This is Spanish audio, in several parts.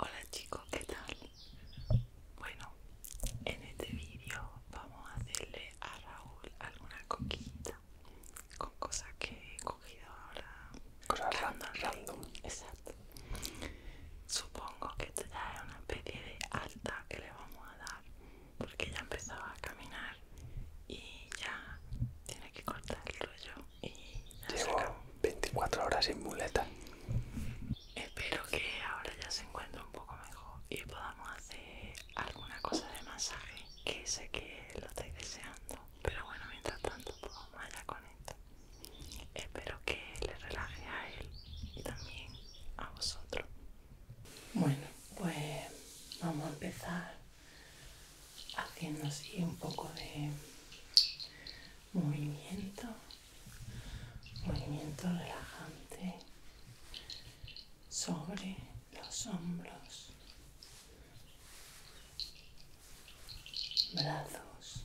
Hola chicos, ¿qué tal? Bueno, en este vídeo vamos a hacerle a Raúl alguna coquita con cosas que he cogido ahora. Cosas random. Exacto. Supongo que esto ya es una especie de alta que le vamos a dar porque ya empezaba a caminar y ya tiene que cortar el rollo y ya 24 horas sin muleta. Espero que ahora ya se encuentre un poco mejor y podamos hacer alguna cosa de masaje que sé que lo estáis deseando. Pero bueno, mientras tanto, pues vamos allá con esto. Espero que le relaje a él y también a vosotros. Bueno, pues vamos a empezar haciendo así un poco de movimiento, movimiento relajante sobre los hombros, brazos,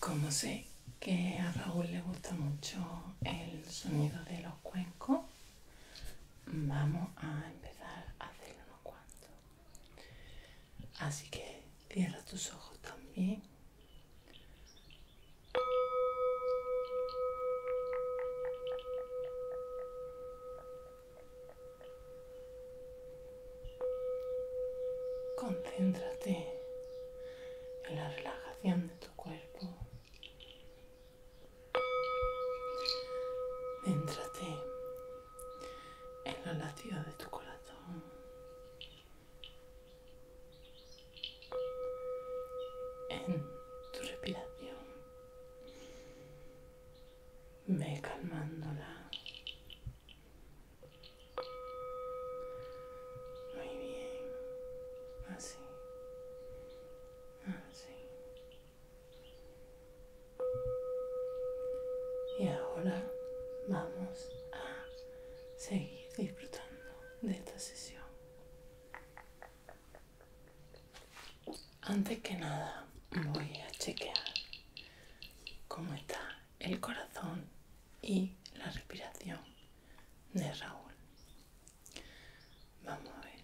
Como sé que a Raúl le gusta mucho el sonido de los cuencos, vamos a empezar a hacer unos cuantos. Así que cierra tus ojos también. Concéntrate en la relajación de tu cuerpo. te en la latidos de tu corazón. En tu respiración. Ve calmándola. Muy bien. Así. Ah, Así. Ah, y ahora vamos a seguir disfrutando de esta sesión. Antes que nada, voy a chequear cómo está el corazón y la respiración de Raúl. Vamos a ver.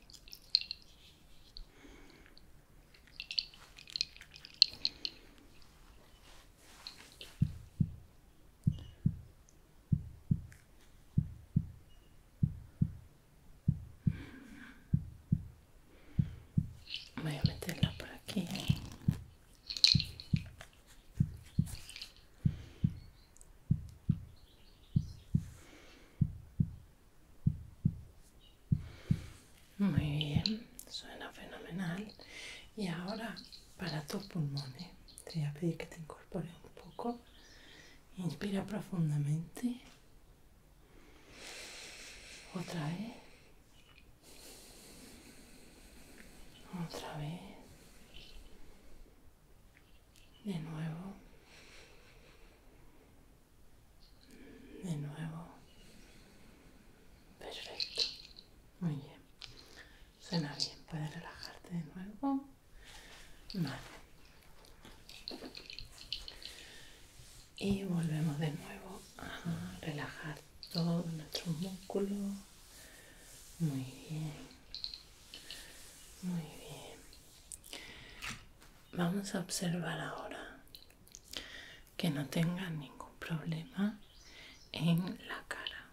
Voy a meterla por aquí. Muy bien, suena fenomenal. Y ahora para tus pulmones, ¿eh? te voy a pedir que te incorpores un poco. Inspira profundamente. Otra vez. Otra vez. De nuevo. De nuevo. Perfecto. Muy bien. Suena bien. Puedes relajarte de nuevo. Vale. Y volvemos de nuevo a relajar todos nuestros músculos muy bien. Muy bien. Vamos a observar ahora que no tenga ningún problema en la cara.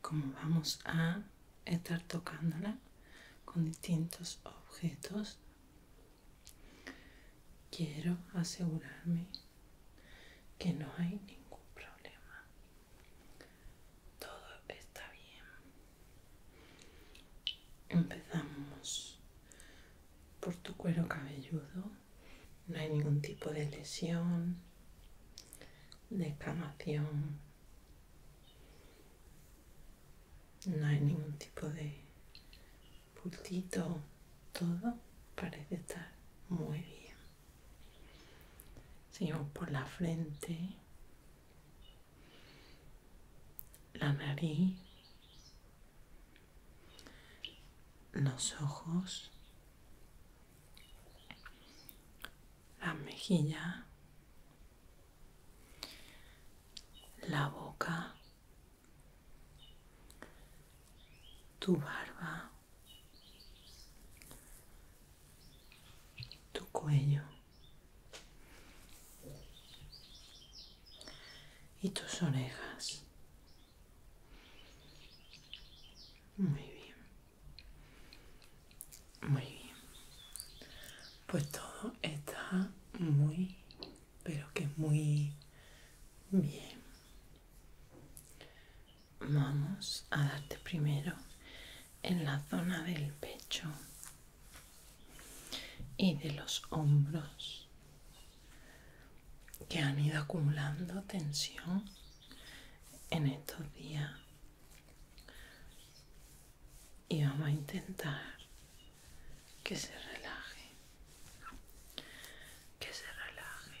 Como vamos a estar tocándola con distintos objetos, quiero asegurarme que no hay ningún problema. Todo está bien. Empezamos por tu cuero cabelludo. No hay ningún tipo de lesión, descamación. No hay ningún tipo de pultito. Todo parece estar muy bien. Seguimos por la frente, la nariz, los ojos, la mejilla, la boca, tu barba, tu cuello y tus orejas. Muy bien. Muy bien. Pues todo está muy, pero que muy bien vamos a darte primero en la zona del pecho y de los hombros que han ido acumulando tensión en estos días y vamos a intentar que se relaje que se relaje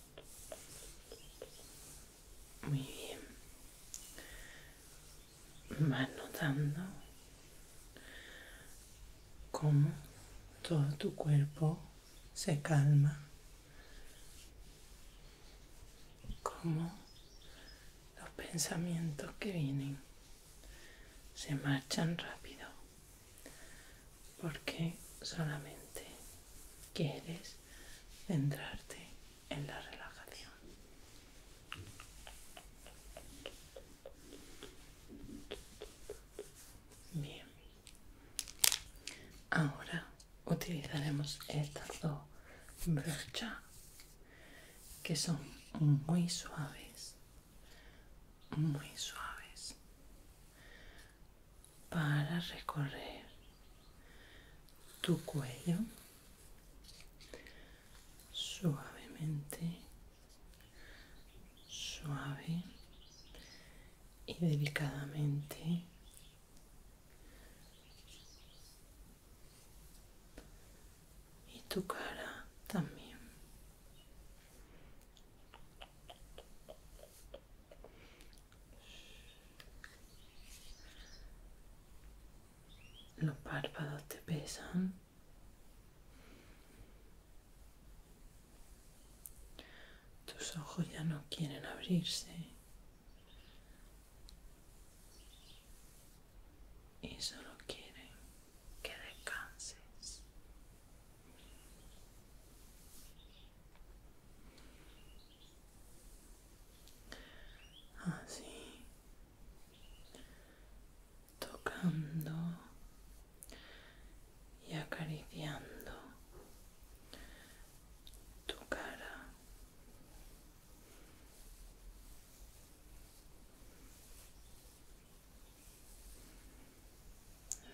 Muy bien. Vas notando cómo todo tu cuerpo se calma. Cómo los pensamientos que vienen se marchan rápido porque solamente quieres centrarte en la relajación. Bien, ahora utilizaremos estas dos brochas que son muy suaves, muy suaves para recorrer tu cuello suavemente, suave y delicadamente. Y tu cara también. Los párpados te pesan. Tus ojos ya no quieren abrirse. Y solo quieren que descanses así ah, tocando y acariciando tu cara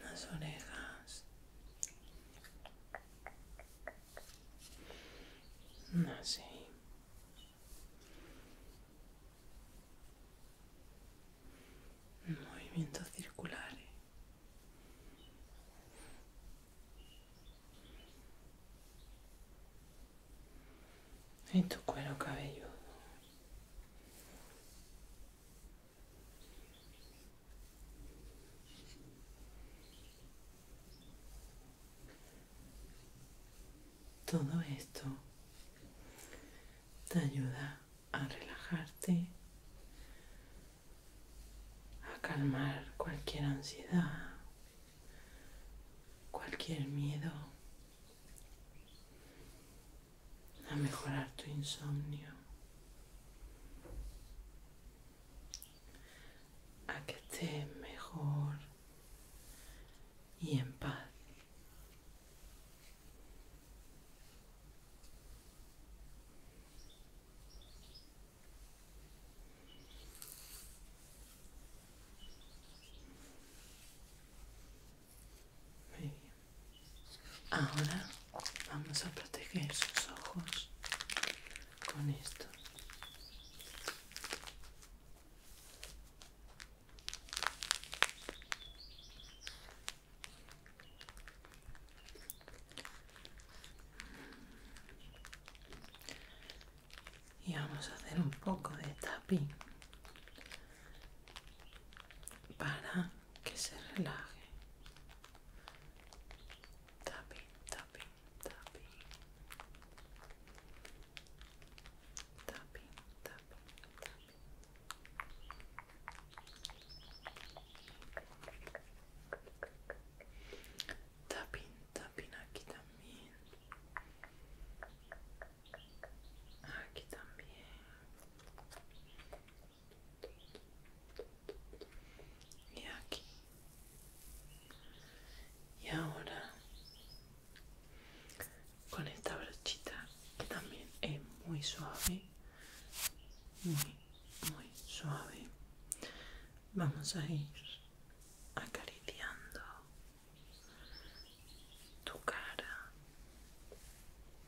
las orejas, así. Movimientos circulares. Y tu cuero cabelludo. Todo esto te ayuda a relajarte, a calmar cualquier ansiedad, cualquier miedo a mejorar tu insomnio, a que estés mejor y en paz. Ahora vamos a proteger sus ojos con esto. Y vamos a hacer un poco de tapi para que se relaje. tapin, tapin, tapin tapin, tapin, tapin tapin, tapin, aquí también. Aquí también y aquí y ahora con esta brochita que también es muy suave muy muy suave vamos a ir acariciando tu cara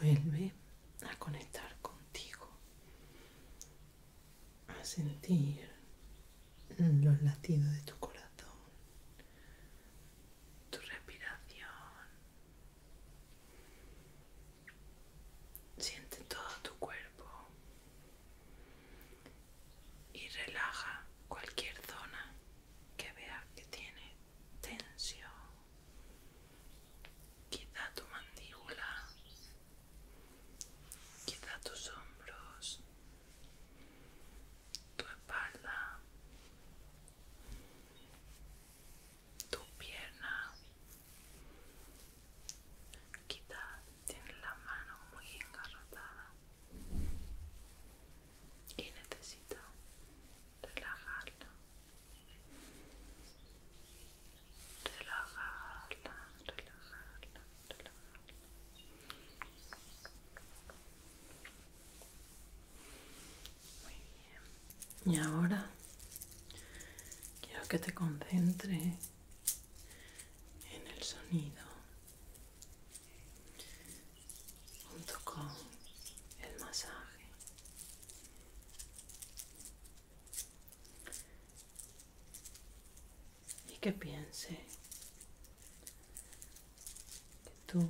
Vuelve a conectar contigo a sentir los latidos de tu corazón, tu respiración. Siente todo tu cuerpo y relaja cualquier zona que veas que tiene tensión. Quizá tu mandíbula quita tus hombros, tu espalda, tu pierna. quita... tienes la mano muy engarrotada y necesita relajarla. Relajarla, relajarla. Muy bien. Y ahora quiero que te concentres en el sonido junto con el masaje y que piense que tú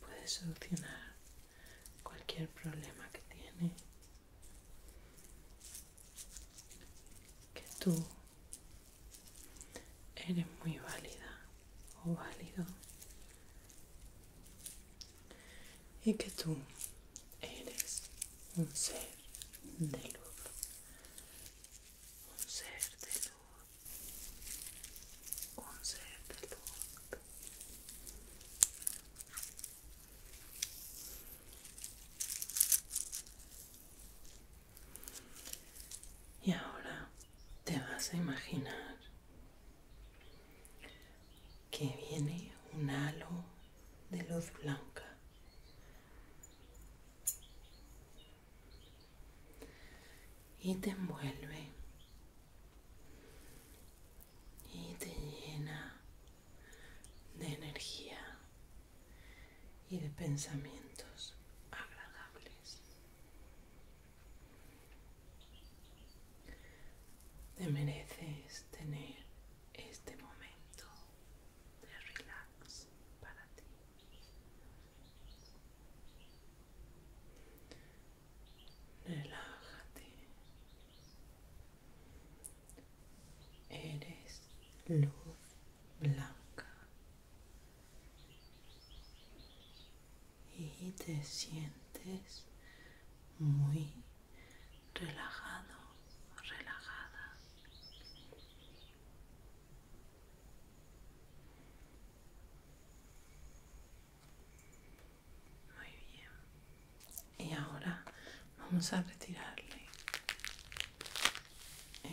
puedes solucionar cualquier problema que tiene, que tú eres muy válida o válido y que tú eres un ser de luz un ser de luz, un ser de luz. Y ahora te vas a imaginar que viene un halo de luz blanca y te envuelve y te llena de energía y de pensamientos agradables, te mereces tener este momento relax para ti. Relájate. Eres luz blanca y te sientes muy relajado, relajada. Muy bien. Y ahora vamos a retirarle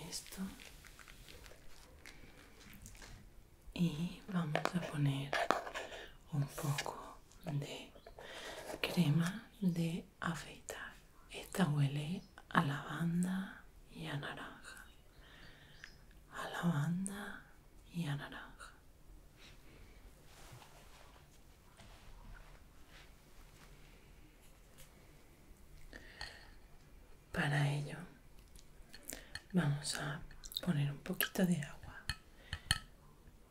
esto. Y vamos a poner un poco de crema de afeitar. Esta huele a lavanda y a naranja. A lavanda y a naranja. Para ello vamos a poner un poquito de agua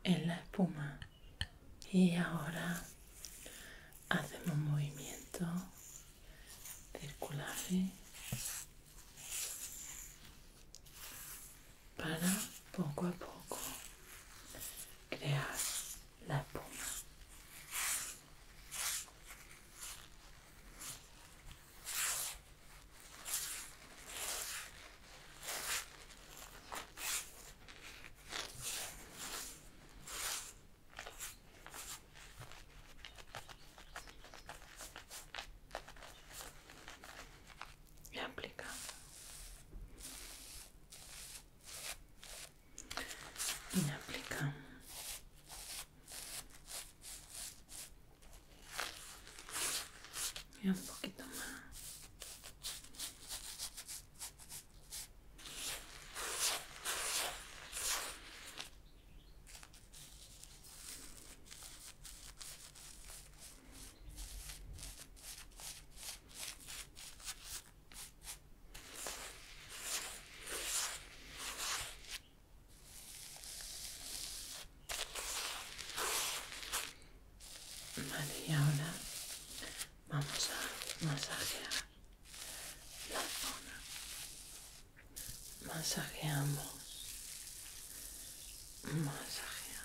en la espuma y ahora hacemos un movimiento circular ¿eh? para poco a poco crear la espuma y aplicamos y aplicamos y un poquito más Vale, ahora Vamos a masajear la zona. Masajeamos. Masajeamos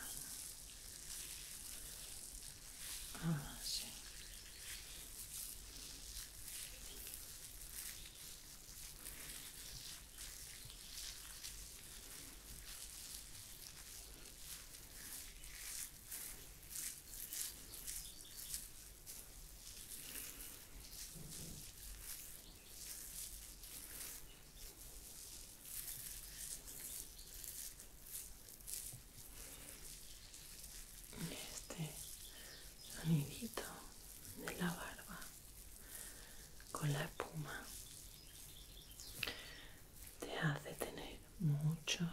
este sonidito de la barba con la espuma te hace tener mucho,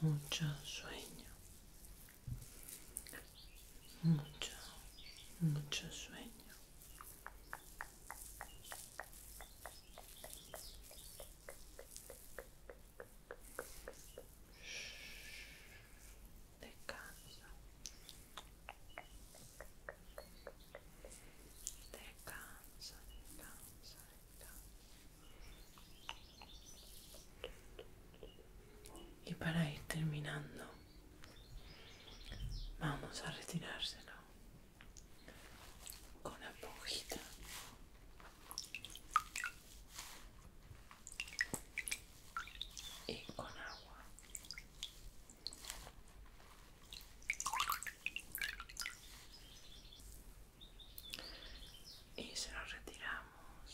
mucho sueño. Mucho, mucho sueño. descansa. Descansa, descansa, descansa. Y para ir terminando, vamos a retirárselo con la pujita Y con agua y se lo retiramos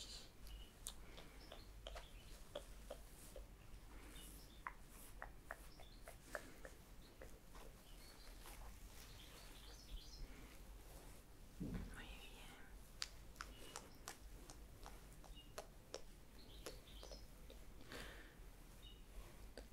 muy bien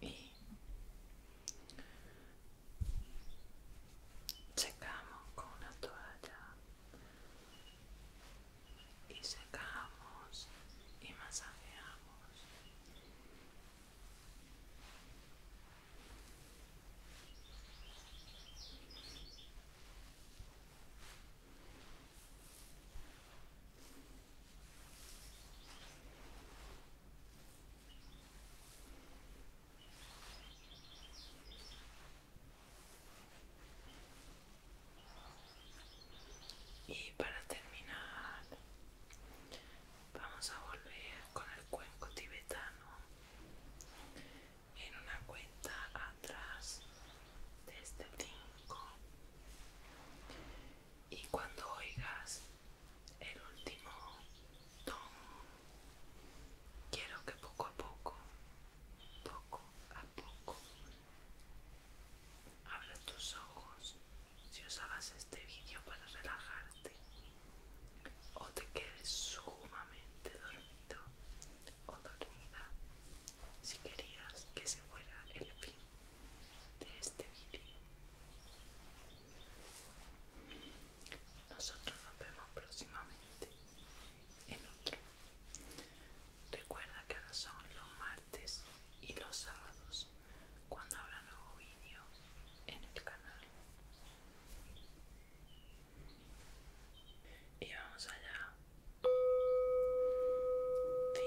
y secamos con una toalla y secamos y masajeamos y para terminar, vamos a volver con el cuenco tibetano en una cuenta atrás de este brinco Y cuando oigas el último ton quiero que poco a poco poco a poco abras tus ojos si usabas este vídeo para relajarte o te quedes sumamente dormido o dormida si querías que se fuera el fin de este vídeo. Nosotros nos vemos próximamente en otro. Recuerda que ahora son los martes y los sábados cuando habrá nuevo vídeo en el canal. Y vamos allá. 5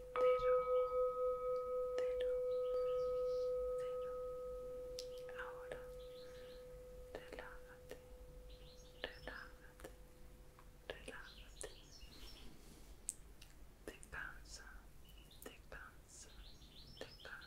cero, cero. Ahora relájate, relájate, relájate. Descansa, descansa, descansa.